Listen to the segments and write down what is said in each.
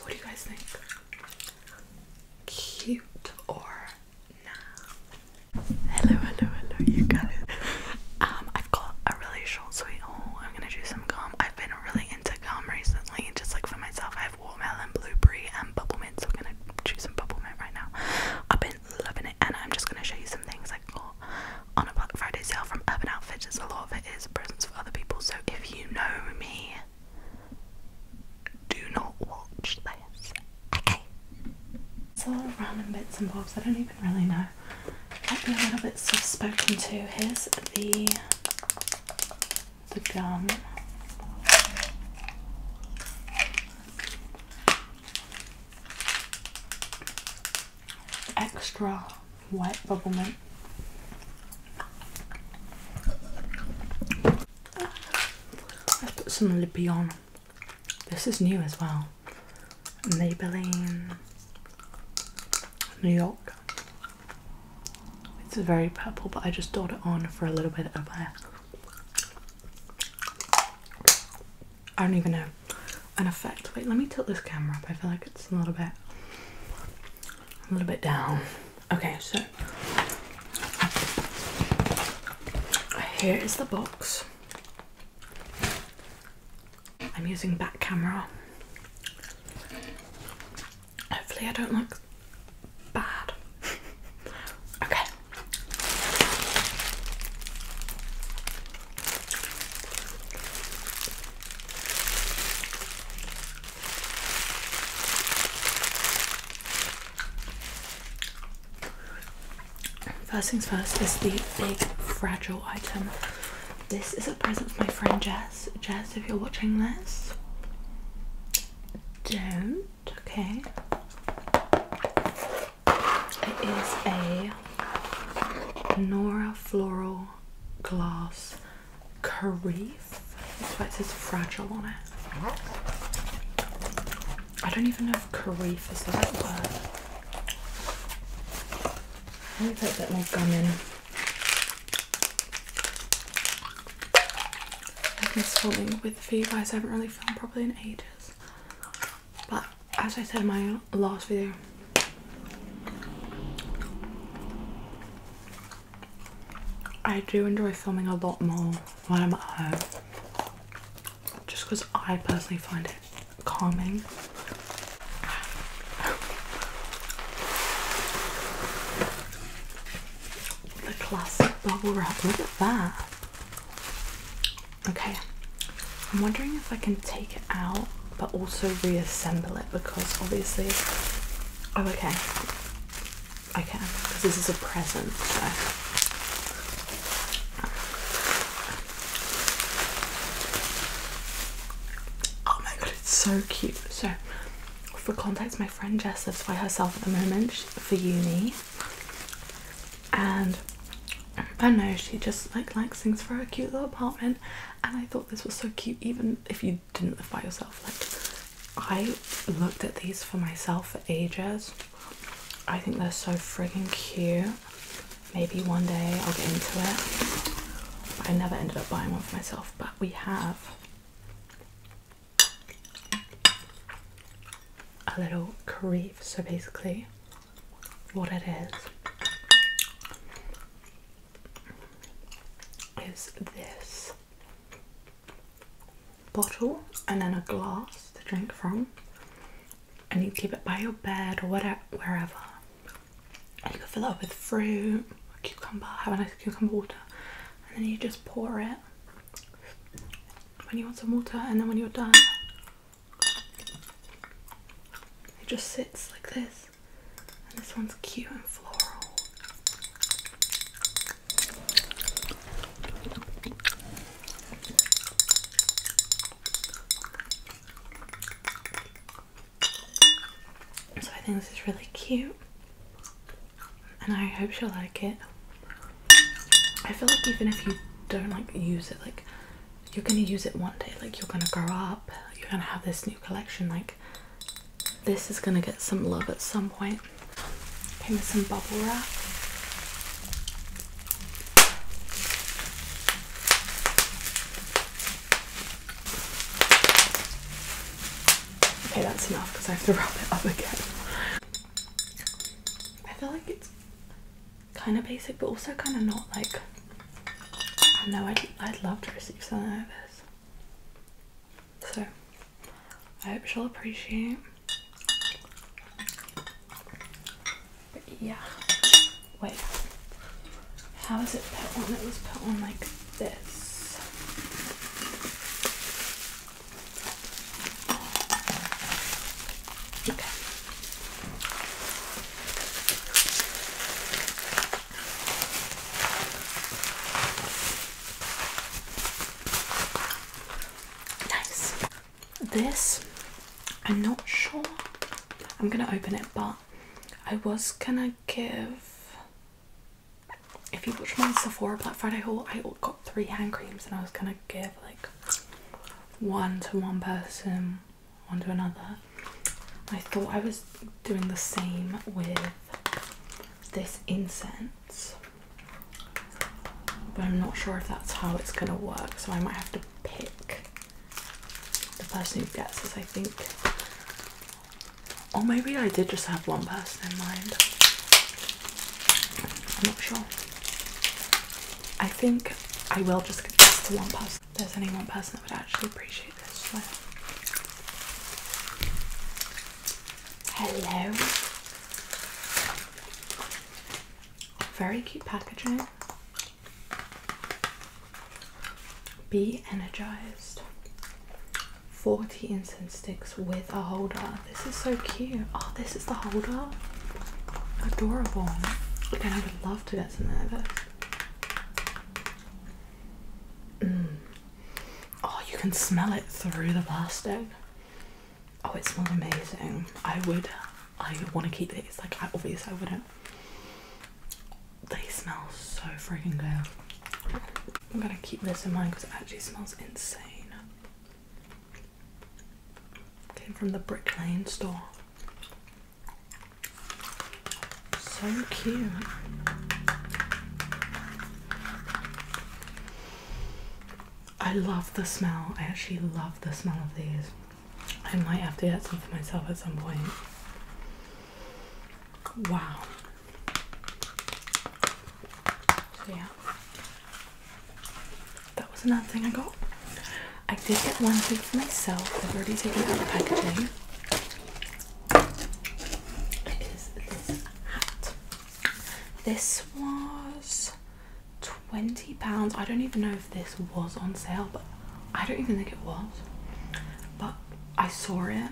What do you guys think? Cute or nah? Hello, hello, hello, you guys. Um, I've got a really short sweet haul. Oh, I'm gonna do some gum. I've been really into gum recently, just like for myself. I have watermelon, blueberry, and bubble so I'm gonna do some bubble right now. I've been loving it, and I'm just gonna show you some things like on a Black Friday sale from Urban Outfitters. A lot of it is presents for other people, so if you know me, do not watch this. Okay. It's all lot random bits and bobs. I don't even really know. Might be a little bit soft spoken to. Here's the the gum. Extra White bubblegum. I've put some lippy on. This is new as well. Maybelline New York. It's very purple, but I just dabbed it on for a little bit of a. I don't even know an effect. Wait, let me tilt this camera up. I feel like it's a little bit a little bit down. Okay, so here is the box. I'm using back camera. Hopefully, I don't look bad. okay. First things first is the big fragile item. This is a present for my friend Jess. Jess, if you're watching this, don't, okay? It is a Nora Floral Glass Karif. That's why it says fragile on it. I don't even know if Karif is the right word. Let me put a bit more gum in. I've been filming with for you guys. I haven't really filmed properly in ages. But as I said in my last video, I do enjoy filming a lot more when I'm at home just because I personally find it calming. The classic bubble wrap, look at that. Okay, I'm wondering if I can take it out but also reassemble it because obviously oh okay I can because this is a present so oh my god it's so cute so for context my friend Jess lives by herself at the moment for uni and I know she just like likes things for her cute little apartment and I thought this was so cute, even if you didn't buy yourself. Like, I looked at these for myself for ages. I think they're so friggin' cute. Maybe one day I'll get into it. But I never ended up buying one for myself, but we have a little creve. So basically, what it is is this bottle and then a glass to drink from, and you keep it by your bed or whatever, wherever. you can fill it up with fruit, cucumber, have a nice cucumber water, and then you just pour it when you want some water, and then when you're done, it just sits like this this one's cute and floral. So I think this is really cute and I hope she'll like it. I feel like even if you don't like use it, like you're gonna use it one day like you're gonna grow up you're gonna have this new collection like this is gonna get some love at some point came with some bubble wrap okay that's enough because i have to wrap it up again i feel like it's kind of basic but also kind of not like I know I'd, I'd love to receive something like this so I hope she'll appreciate but yeah wait how is it put on it was put on like this Okay. Nice. This, I'm not sure. I'm gonna open it, but I was gonna give. If you watch my Sephora Black Friday haul, I got three hand creams, and I was gonna give like one to one person, one to another. I thought I was doing the same with this incense, but I'm not sure if that's how it's gonna work, so I might have to pick the person who gets this, I think. Or maybe I did just have one person in mind. I'm not sure. I think I will just give this to one person if there's any one person that would actually appreciate this. So. Hello. Very cute packaging. Be energized. 40 incense sticks with a holder. This is so cute. Oh, this is the holder. Adorable. And I would love to get some there first. Mm. Oh, you can smell it through the plastic. Oh, it smells amazing. I would, I want to keep it. It's Like, obviously, I wouldn't. They smell so freaking good. I'm gonna keep this in mind because it actually smells insane. Came from the Brick Lane store. So cute. I love the smell. I actually love the smell of these. I might have to get some for myself at some point. Wow. yeah that was another thing I got. I did get one thing for myself. I've already taken out the packaging. It is this hat. This was £20. I don't even know if this was on sale, but I don't even think it was. But I saw it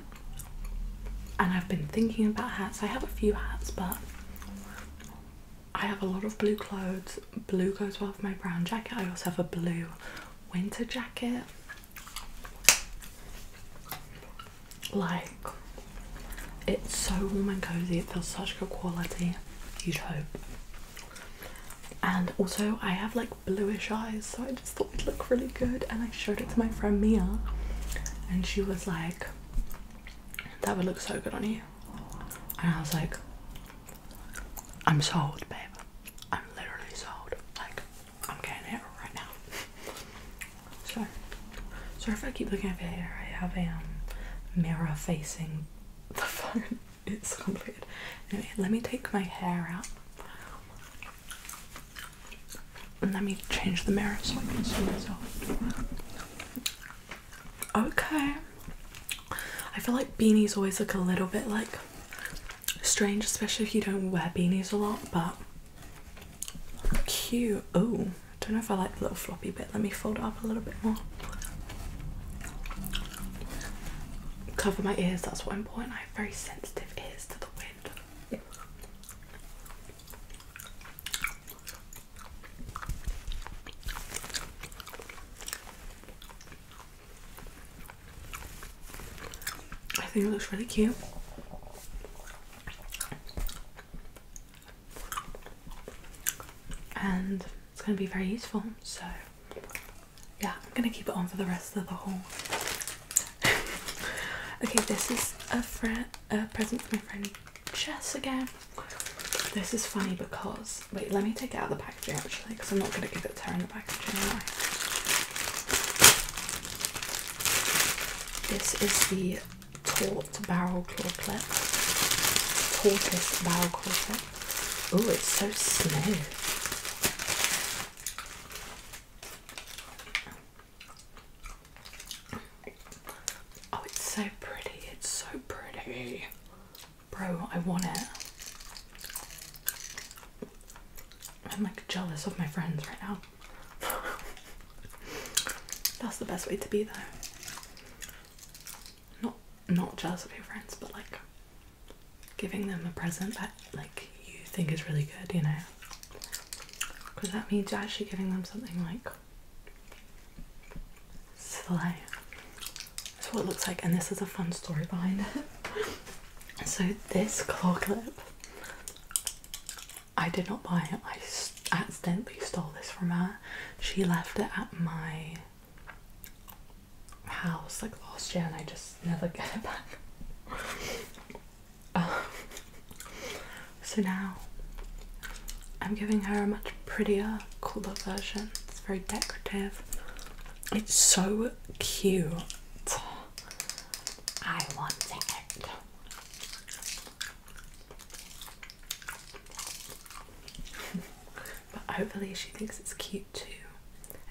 and I've been thinking about hats. I have a few hats, but I have a lot of blue clothes. Blue goes well with my brown jacket. I also have a blue winter jacket. Like, it's so warm and cozy, it feels such good quality. Huge hope. And also, I have like bluish eyes, so I just thought it'd look really good. And I showed it to my friend Mia, and she was like, That would look so good on you. And I was like, I'm sold, babe. I'm literally sold. Like, I'm getting it right now. so, sorry if I keep looking over hair, I have a um, mirror facing the phone. it's complicated. Anyway, let me take my hair out. And let me change the mirror so I can see myself. Okay. I feel like beanies always look a little bit like strange, especially if you don't wear beanies a lot, but cute. Oh, I don't know if I like the little floppy bit. Let me fold it up a little bit more. Cover my ears, that's what I'm important. I have very sensitive ears to the wind. I think it looks really cute. And it's going to be very useful, so yeah, I'm going to keep it on for the rest of the haul. okay, this is a, a present for my friend chess again. This is funny because wait, let me take it out of the packaging actually, because I'm not going to give it to her in the packaging. Anyway. This is the taut barrel claw clip, tortoise barrel claw Oh, it's so smooth. Oh, it's so pretty. It's so pretty. Bro, I want it. I'm like jealous of my friends right now. That's the best way to be though. Not not jealous of your friends, but like giving them a present that like you think is really good, you know. Because that means you're actually giving them something like Slay. That's what it looks like, and this is a fun story behind it. so, this claw clip, I did not buy it, I accidentally stole this from her. She left it at my house like last year, and I just never get it back. Um, so now I'm giving her a much prettier, cooler version. It's very decorative. It's so cute. I want it. but hopefully she thinks it's cute too.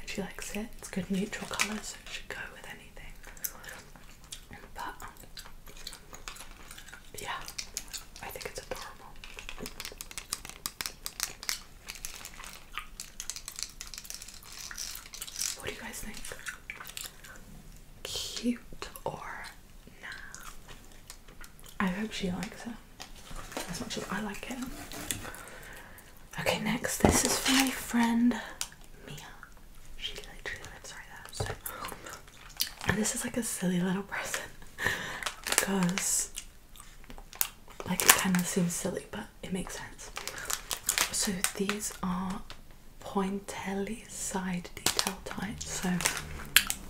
And she likes it. It's good neutral colour so it should go with anything. But yeah, I think it's adorable. What do you guys think? Cute or nah? I hope she likes it as much as I like it. Okay, next, this is my friend Mia. She literally lives right there, this is like a silly little present because like it kind of seems silly but it makes sense. So these are pointelli side detail ties. So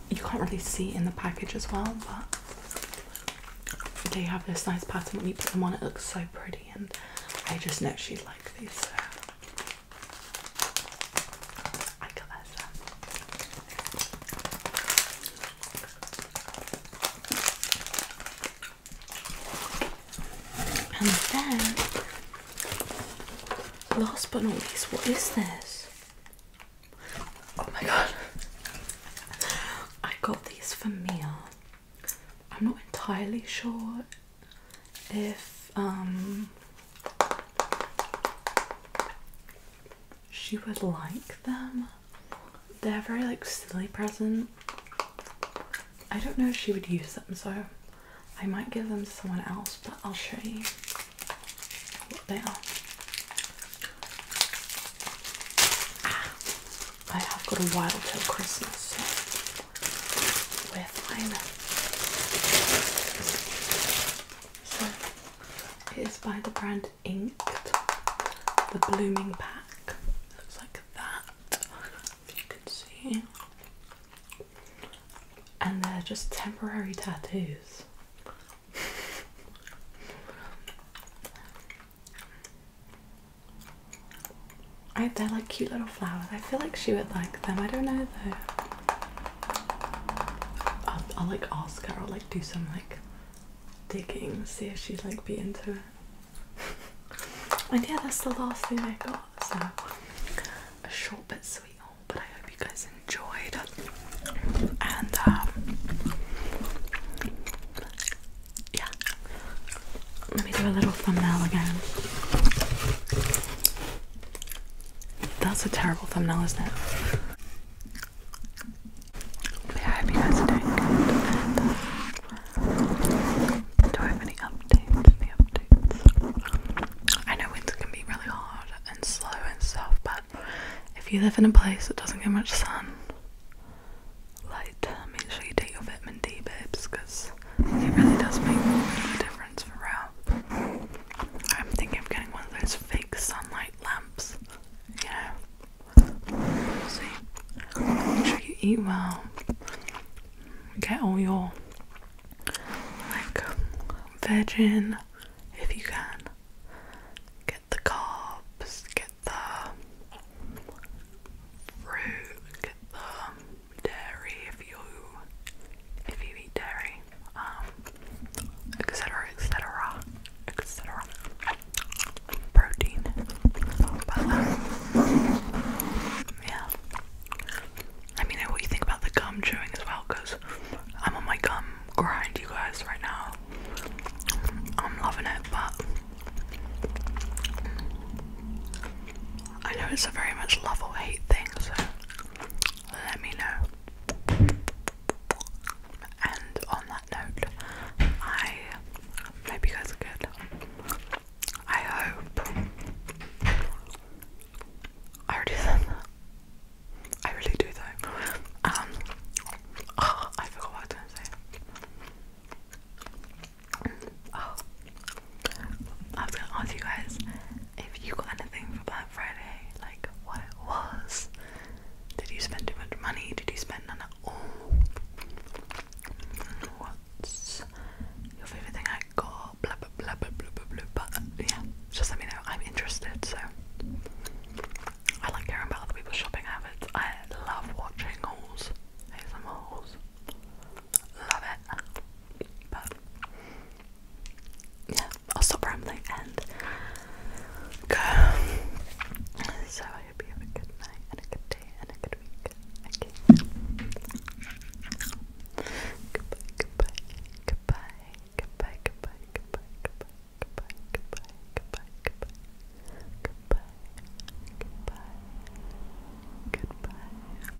you can't really see in the package as well, but they have this nice pattern when you put them on, it looks so pretty and I just know she likes these and then, last but not least, what is this? Oh my god. I got these for Mia. I'm not entirely sure if um she would like them. They're very like silly presents. I don't know if she would use them, so I might give them to someone else, but I'll show you what they are. Ah, I have got a while till Christmas, with we so it is by the brand Inked, the Blooming Pack. Looks like that, you can see. And they're just temporary tattoos. I, they're like cute little flowers. I feel like she would like them. I don't know though. I'll, like ask her, I'll like do some like digging, see if she'd like be into it. and yeah, that's the last thing I got. So a short but sweet haul, but I hope you guys enjoyed. And um yeah. Let me do a little thumbnail again. That's a terrible thumbnail, isn't it? I hope you guys are doing uh, do I have any updates? Any updates? I know winter can be really hard and slow and stuff, but if you live in a place that doesn't get much sun, light, um, make sure you take your vitamin D, babes, because it really does make a difference for real. Uh, I'm thinking of getting one of those fake sunlight lamps. You see. Make sure you eat well. Get all your like veg if you can. Get the carbs, get the fruit, get the dairy if you if you eat dairy, um, etc. etc. etc. Protein. But, um, yeah. I mean, what do you think about the gum chewing as well? Cause I'm on my gum grind, you guys, right now. I'm loving it, but I know it's a very much love or hate thing, so let me know. And on that note, I hope you guys are good. I hope. I already said I really do though. Um, oh, I forgot what to say. Oh, I was going to ask you guys if you got anything for Black Friday, like what was. Did you spend too much money? Did you spend none at all? What's your favourite thing I got? Blah blah blah blah blah blah blah. yeah, just let me know. I'm interested. So I like hearing about other people's shopping habits. I love watching hauls. Here's hauls. Love it. But yeah, I'll stop rambling and go. So I hope you have a good night and a good day and a good week. Okay. Goodbye, goodbye, goodbye, goodbye, goodbye, goodbye, goodbye, goodbye, goodbye, goodbye, goodbye, goodbye, goodbye, goodbye.